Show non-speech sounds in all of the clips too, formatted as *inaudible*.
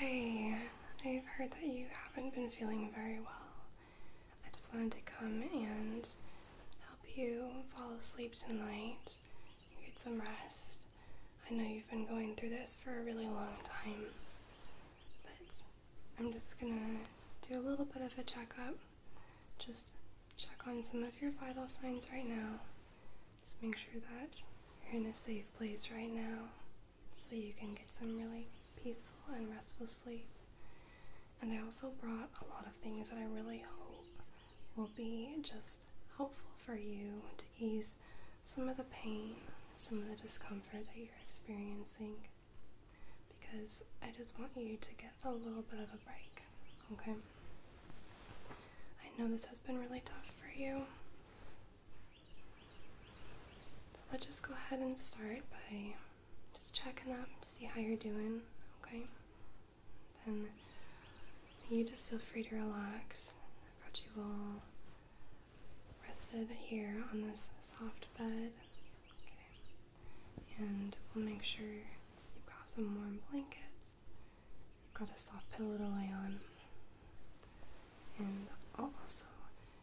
Hi, I've heard that you haven't been feeling very well. I just wanted to come and help you fall asleep tonight, get some rest. I know you've been going through this for a really long time, but I'm just gonna do a little bit of a checkup. Just check on some of your vital signs right now. Just make sure that you're in a safe place right now so you can get some really peaceful and restful sleep. And I also brought a lot of things that I really hope will be just helpful for you to ease some of the pain, some of the discomfort that you're experiencing. Because I just want you to get a little bit of a break, okay? I know this has been really tough for you. So let's just go ahead and start by just checking up to see how you're doing, okay? Then you just feel free to relax. I've got you all rested here on this soft bed, okay? And we'll make sure you've got some warm blankets Got a soft pillow to lay on. And I'll also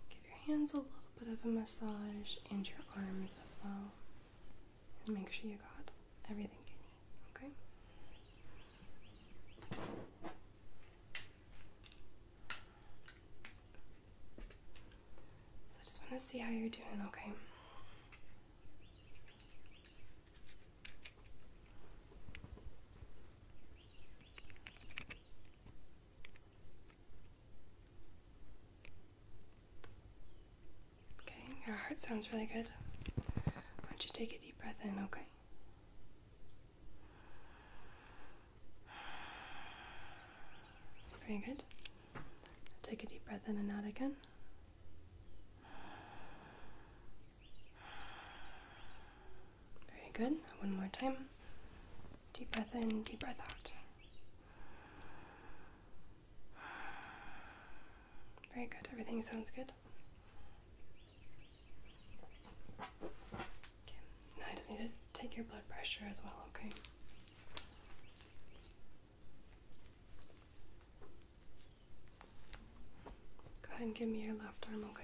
give your hands a little bit of a massage and your arms as well. And make sure you got everything you need, okay? So I just want to see how you're doing, okay? Okay, your heart sounds really good. Why don't you take a deep breath in, okay? Very good. Take a deep breath in and out again. Very good. One more time. Deep breath in, deep breath out. Very good. Everything sounds good. Okay. Now I just need to take your blood pressure as well, okay? Go ahead and give me your left arm, okay?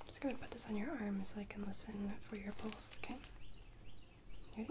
I'm just going to put this on your arm so I can listen for your pulse, okay? ready?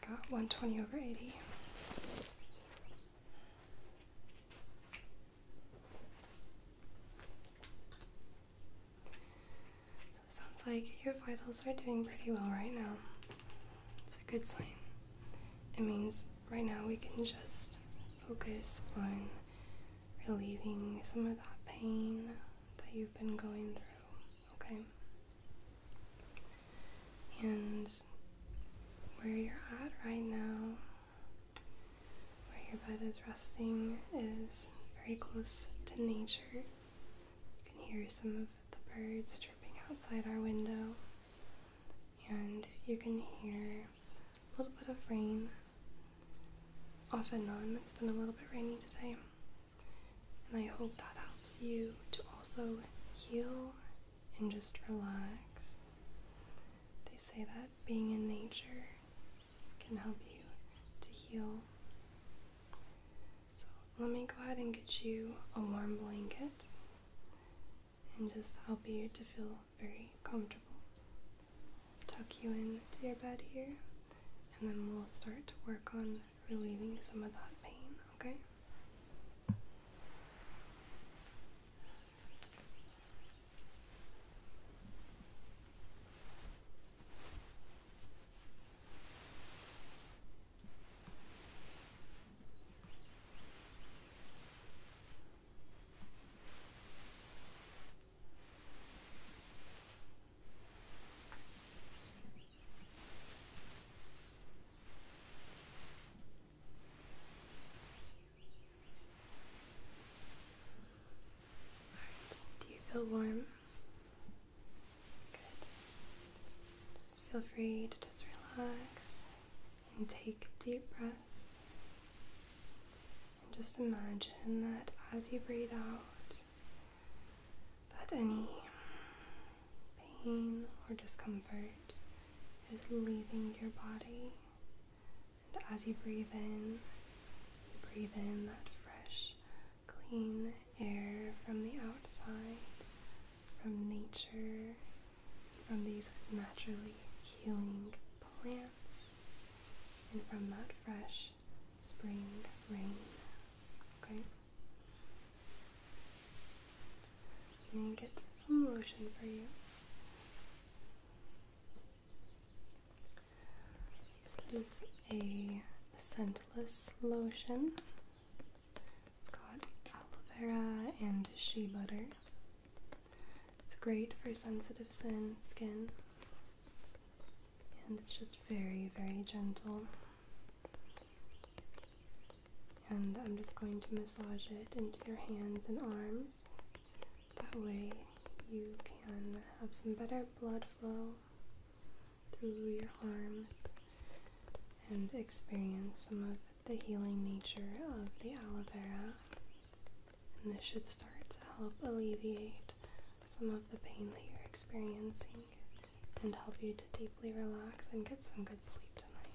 Got 120 over 80. So sounds like your vitals are doing pretty well right now. It's a good sign. It means right now we can just focus on relieving some of that pain that you've been going through, okay? and where you're at right now, where your bed is resting, is very close to nature. You can hear some of the birds chirping outside our window, and you can hear a little bit of rain. Off and on, it's been a little bit rainy today, and I hope that helps you to also heal and just relax. They say that being in nature can help you to heal. So, let me go ahead and get you a warm blanket and just help you to feel very comfortable. Tuck you into your bed here, and then we'll start to work on relieving some of that pain, okay? do you feel warm? Good. Just feel free to just relax and take deep breaths. And just imagine that as you breathe out, that any pain or discomfort is leaving your body. And as you breathe in, breathe in that fresh, clean air from the outside, from nature, from these naturally healing plants, and from that fresh spring rain. Okay? Let me get some lotion for you. This is a scentless lotion. got aloe vera and shea butter. It's great for sensitive skin, skin. And it's just very, very gentle. And I'm just going to massage it into your hands and arms. That way, you can have some better blood flow through your arms and experience some of the healing nature of the aloe vera. And this should start to help alleviate some of the pain that you're experiencing and help you to deeply relax and get some good sleep tonight.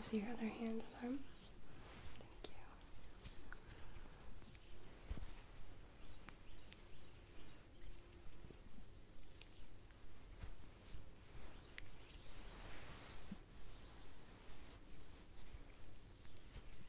Is your other hand warm? Thank you.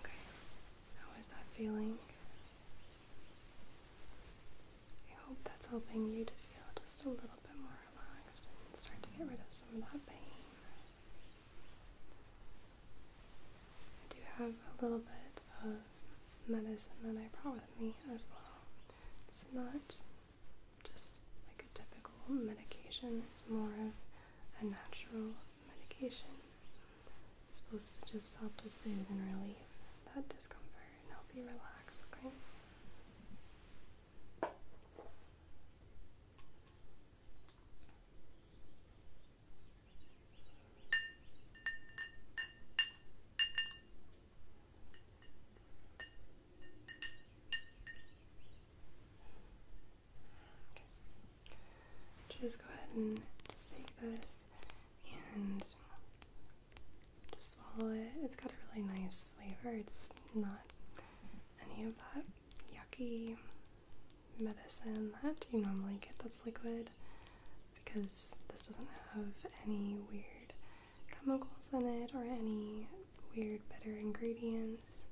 Okay, how is that feeling? I hope that's helping you to feel just a little bit more relaxed and start to get rid of some of that pain. I do have a little bit of medicine that I brought with me as well. It's not just like a typical medication, it's more of a natural medication. It's supposed to just help to soothe and relieve that discomfort. Just go ahead and just take this and just swallow it. It's got a really nice flavor. It's not any of that yucky medicine that you normally get that's liquid because this doesn't have any weird chemicals in it or any weird bitter ingredients,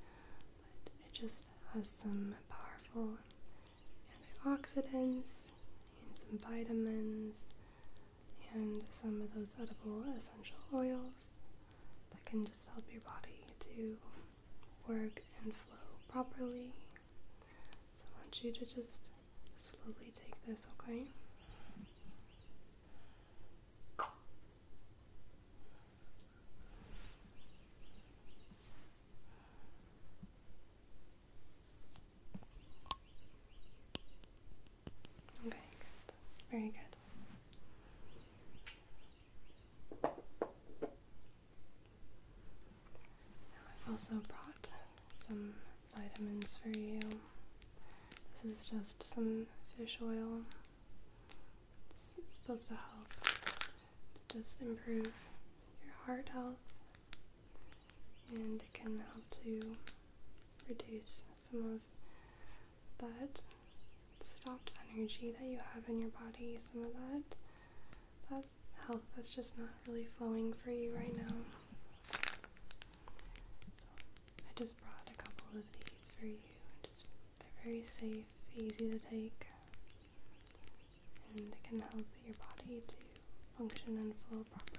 but it just has some powerful antioxidants and some vitamins and some of those edible essential oils that can just help your body to work and flow properly. So I want you to just slowly take this, okay? Okay, Very good. I've also brought some vitamins for you. This is just some fish oil. It's, supposed to help just improve your heart health and it can help to reduce some of that stopped energy that you have in your body, some of that that health that's just not really flowing for you right now. So I just brought a couple of these for you. Just they're very safe, easy to take, and it can help your body to function and flow properly.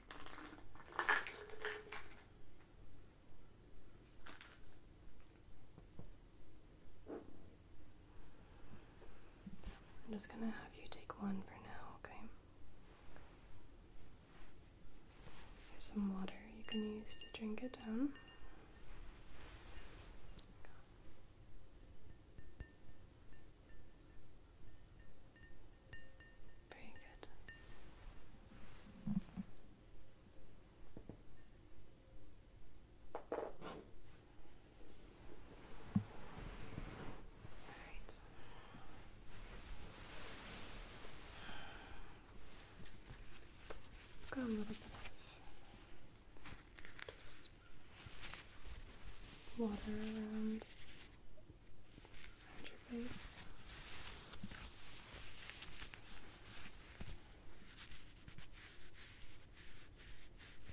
I'm just going to have you take one for now, okay? Here's some water you can use to drink it down. Very good. Alright. Go a little bit just water around there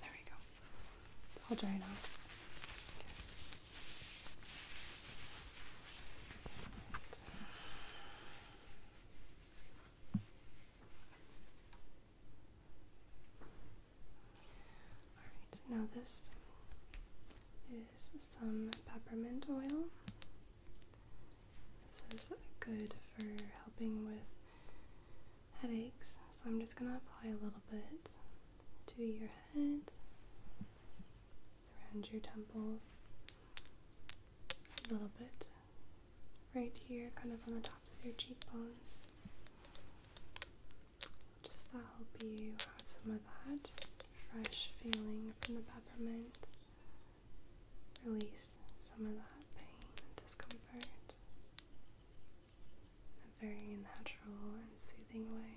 we go. It's all dry out. All right. Now this is some peppermint oil. This is good for helping with headaches, so I'm just going to apply a little bit to your head, around your temple, a little bit right here, kind of on the tops of your cheekbones. Just to help you have some of that fresh feeling from the peppermint. Release some of that pain and discomfort in a very natural and soothing way.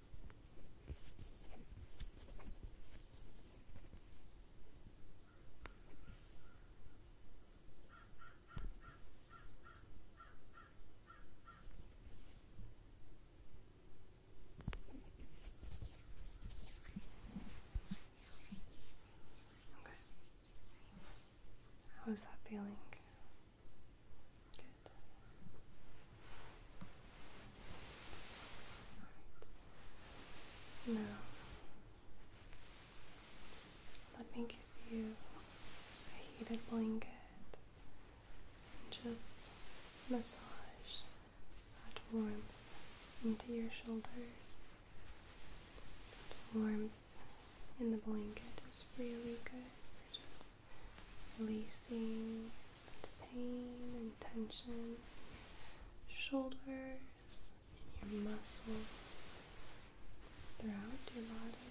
Okay. How is that feeling? Good. Right. Now, let me give you a heated blanket and just massage that warmth into your shoulders. That warmth in the blanket is really good for just releasing and pain and tension shoulders, in your muscles, throughout your body.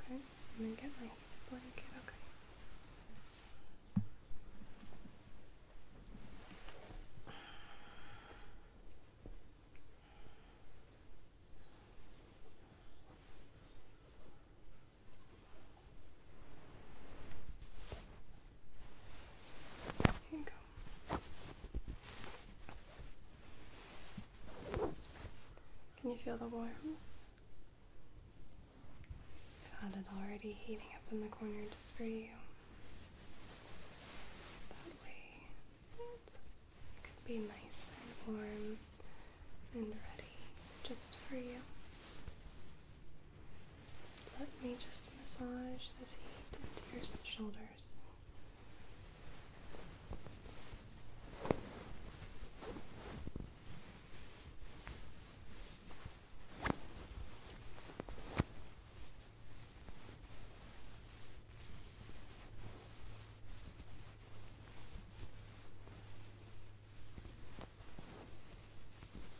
Okay, I'm gonna get my heated blanket, Okay. Can you feel the warmth? I had it already heating up in the corner just for you. That way it could be nice and warm and ready just for you. Let me just massage this heat into your shoulders.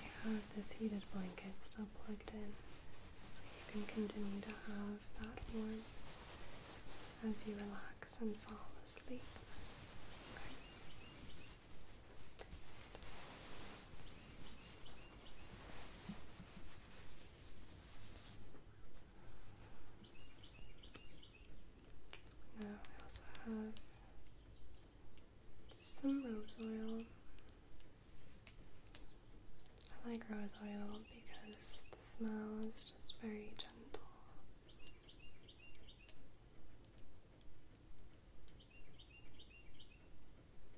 There have this heated blanket still plugged in, so you can continue to have that warmth as you relax and fall asleep. Now I also have some rose oil. I like rose oil because the smell is just very gentle.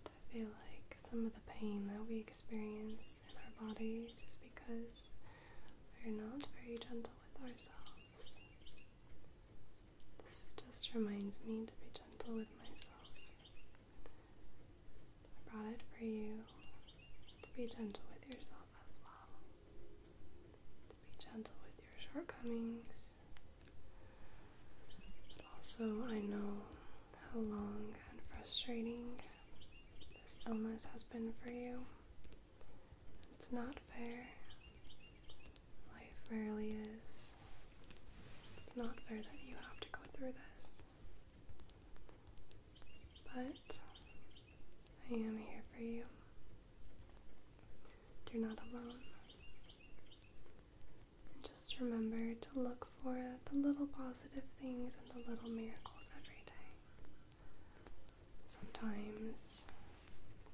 I feel like some of the pain that we experience in our bodies because we're not very gentle with ourselves. This just reminds me to be gentle with myself. I brought it for you to be gentle with yourself as well, to be gentle with your shortcomings. also, I know how long and frustrating this illness has been for you. It's not fair. Life rarely is. It's not fair that you have to go through this. But I am here for you. You're not alone. just remember to look for the little positive things and the little miracles every day. Sometimes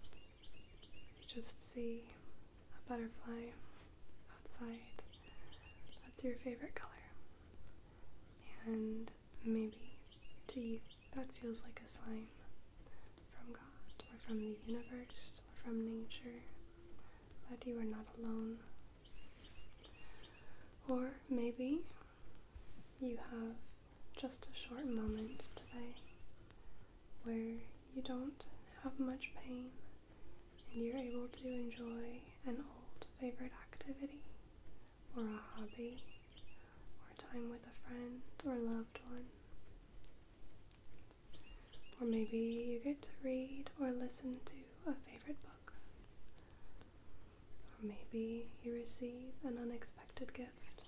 you just see a butterfly outside that's your favorite color. And maybe to you that feels like a sign from God or from the universe or from nature that you are not alone, or maybe you have just a short moment today where you don't have much pain and you're able to enjoy an old favorite activity or a hobby or time with a friend or loved one. Or maybe you get to read or listen to a favorite book or maybe you receive an unexpected gift.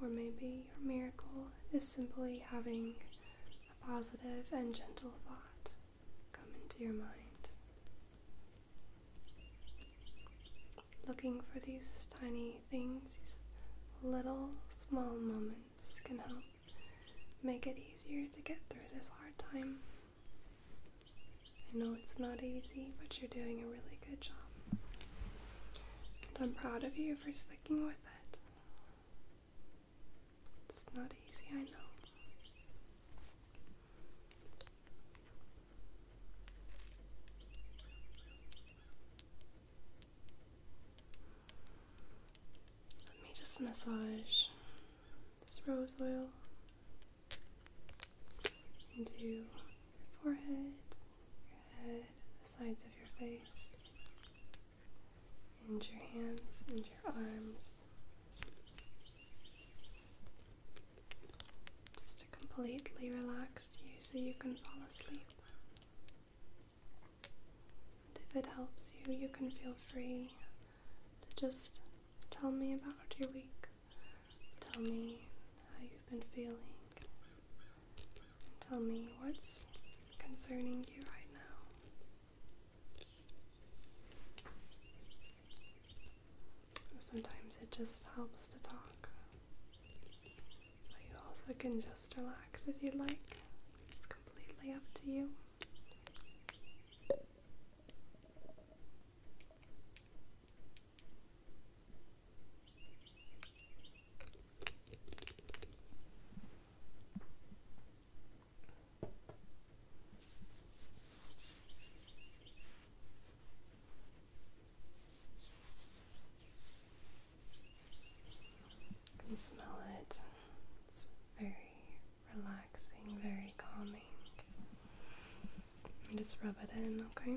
Or maybe your miracle is simply having a positive and gentle thought come into your mind. Looking for these tiny things, these little small moments can help make it easier to get through this hard time. I know it's not easy, but you're doing a really good job. And I'm proud of you for sticking with it. It's not easy, I know. Let me just massage this rose oil into your forehead, your head, the sides of your face, and your hands and your arms. Just to completely relax you so you can fall asleep if it helps you, you can feel free to just tell me about your week. Tell me how you've been feeling. tell me what's concerning you right now. Sometimes it just helps to talk. But you also can just relax if you'd like. It's completely up to you. You can smell it. It's very relaxing, very calming. just rub it in, okay?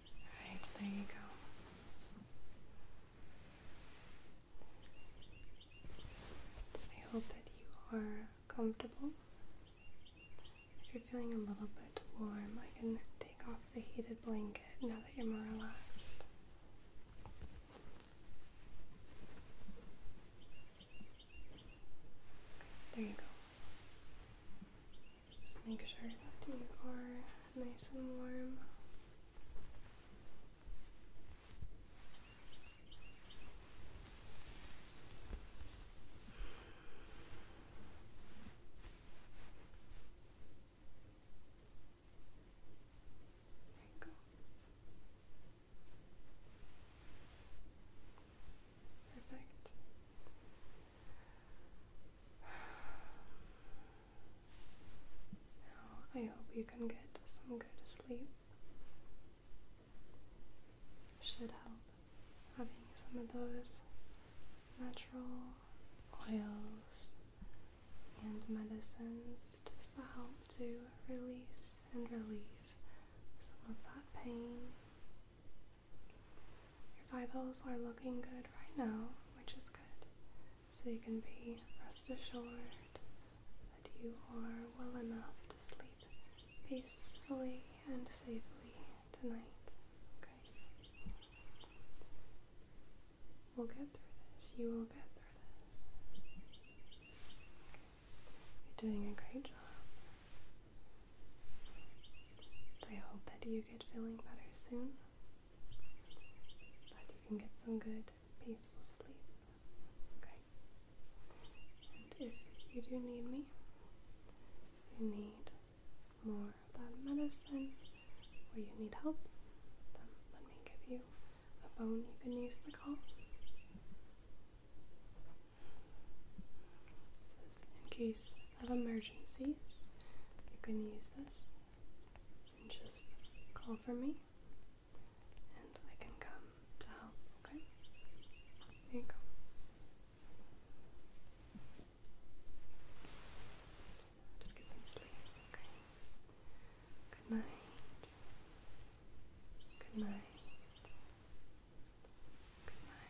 Alright, there you go. I hope that you are comfortable. If you're feeling a little bit warm, I can take off the heated blanket now that you're more relaxed. There you go. Just make sure that you are nice and warm. There you go. Perfect. *sighs* I hope you can get some good sleep. Should help having some of those natural oils and medicines just to help to release and relieve some of that pain your vitals are looking good right now, which is good. So you can be rest assured that you are well enough to sleep peacefully and safely tonight. Okay? We'll get through this. You will get through this. Okay. You're doing a great job. I hope that you get feeling better soon. But you can get some good, peaceful sleep. Okay? And if you do need me, if you need more of that medicine or you need help, then let me give you a phone you can use to call. in case of emergencies, you can use this and just call for me and I can come to help, okay? There you go. Just get some sleep, okay? Good night. Good night. Good night.